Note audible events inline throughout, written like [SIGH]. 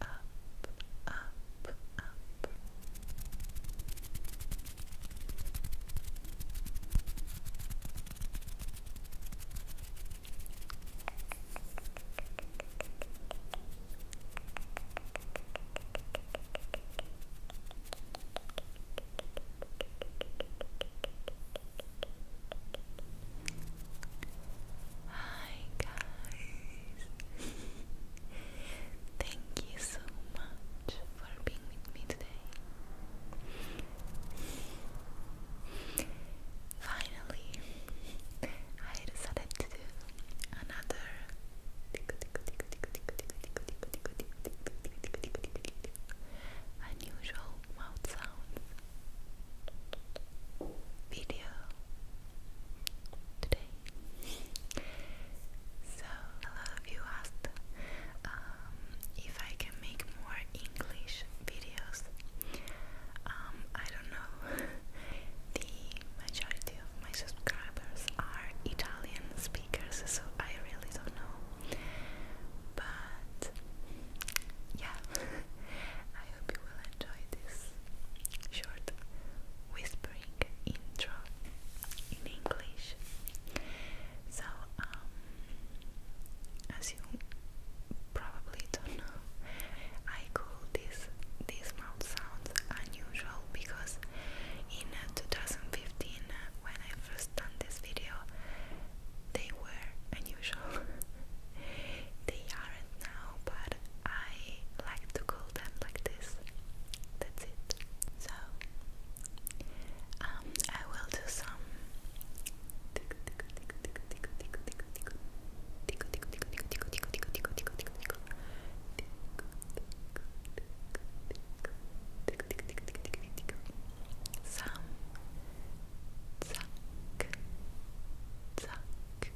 up, up, up. Hi guys, Thank you so much for being with me today. Finally, I decided to do another unusual mouth sounds video today. So a lot of you asked um, if I can make more English videos. Um, I don't know. [LAUGHS] the majority of my subscribers are Italian speakers, so I really don't know. But yeah, [LAUGHS] I hope you will enjoy this short whispering intro in English. So, um, as you probably don't know, I call this these mouth sounds unusual because in uh, 2015, uh, when I first done this video, they were unusual. [LAUGHS] they aren't now, but but I like to call them like this. That's it. So um, I will do some some zack zack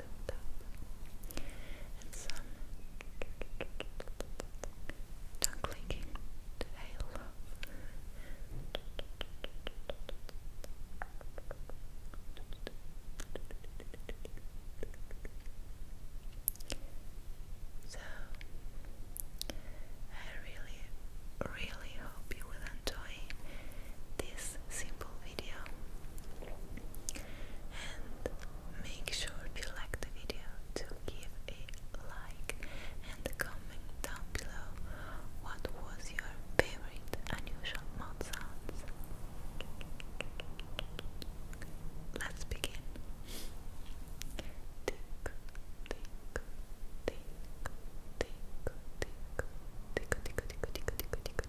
build So, I really, really hope you will enjoy this simple video and Make sure you like the video to give a like and comment down below what was your favorite unusual mouth Let's begin.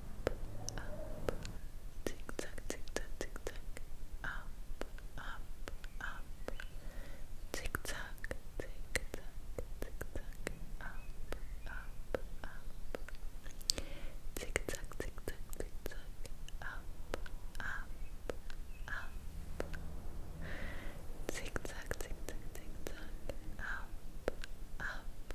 up, tick tock, tick tock, tick tock, up, up, up, tick tock, tick tock, tick tock, up, up, up, tick tock, tick tock, tick tock, up, up, up, tick tock, tick tock, tick tock, up, up.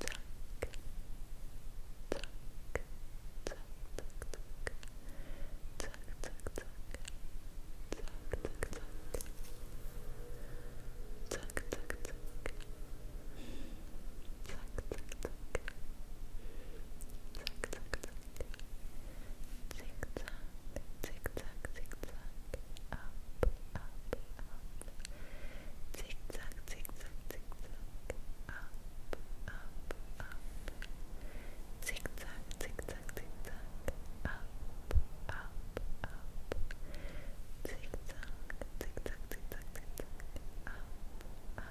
tuck, tuck, tuck, tuck, tuck, tuck, tuck, tuck, tuck, tuck, tuck, Tick tock, tick tock, tick tock, up, up, up. Tick tock, tick tock, Up, up, up. Tick tock, tick Up, up, up. Tick tock, tick tock, Up, up, up.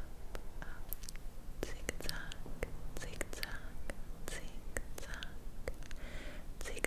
Tick tock, tick tock,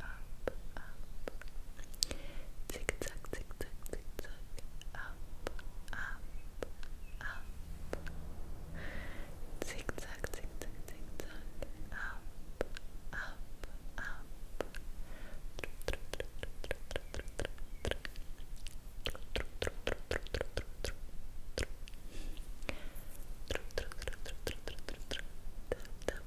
up, up, zig zag, zig zag, zig zag, up, up, up, zig zag, zig zag, zig zag, up, up, up, tap tap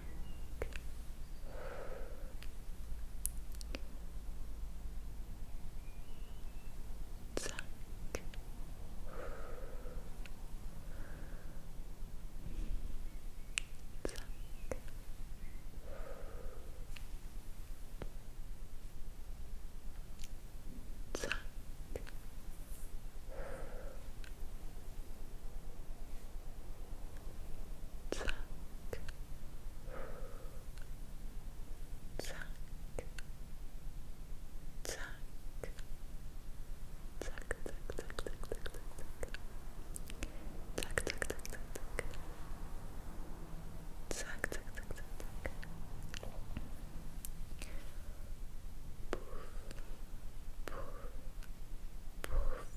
back. Zack. Zack. Zack. Zack. Tuck. Tuck. Tuck. Tuck, tuck, tuck, tuck, tuck, tuck, tuck, tuck, tuck, tuck, tuck, tuck, tuck, tuck, tuck, tuck, poof, poof, poof,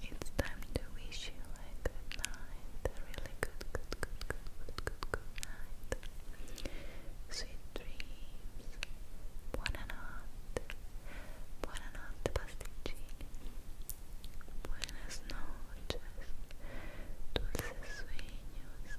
So it's time to wish you a good night, a really good, good, good, good, good, good, night. Sweet dreams. Buonanotte. Buonanotte pasticcini. Buenas noches. Dulces sueños.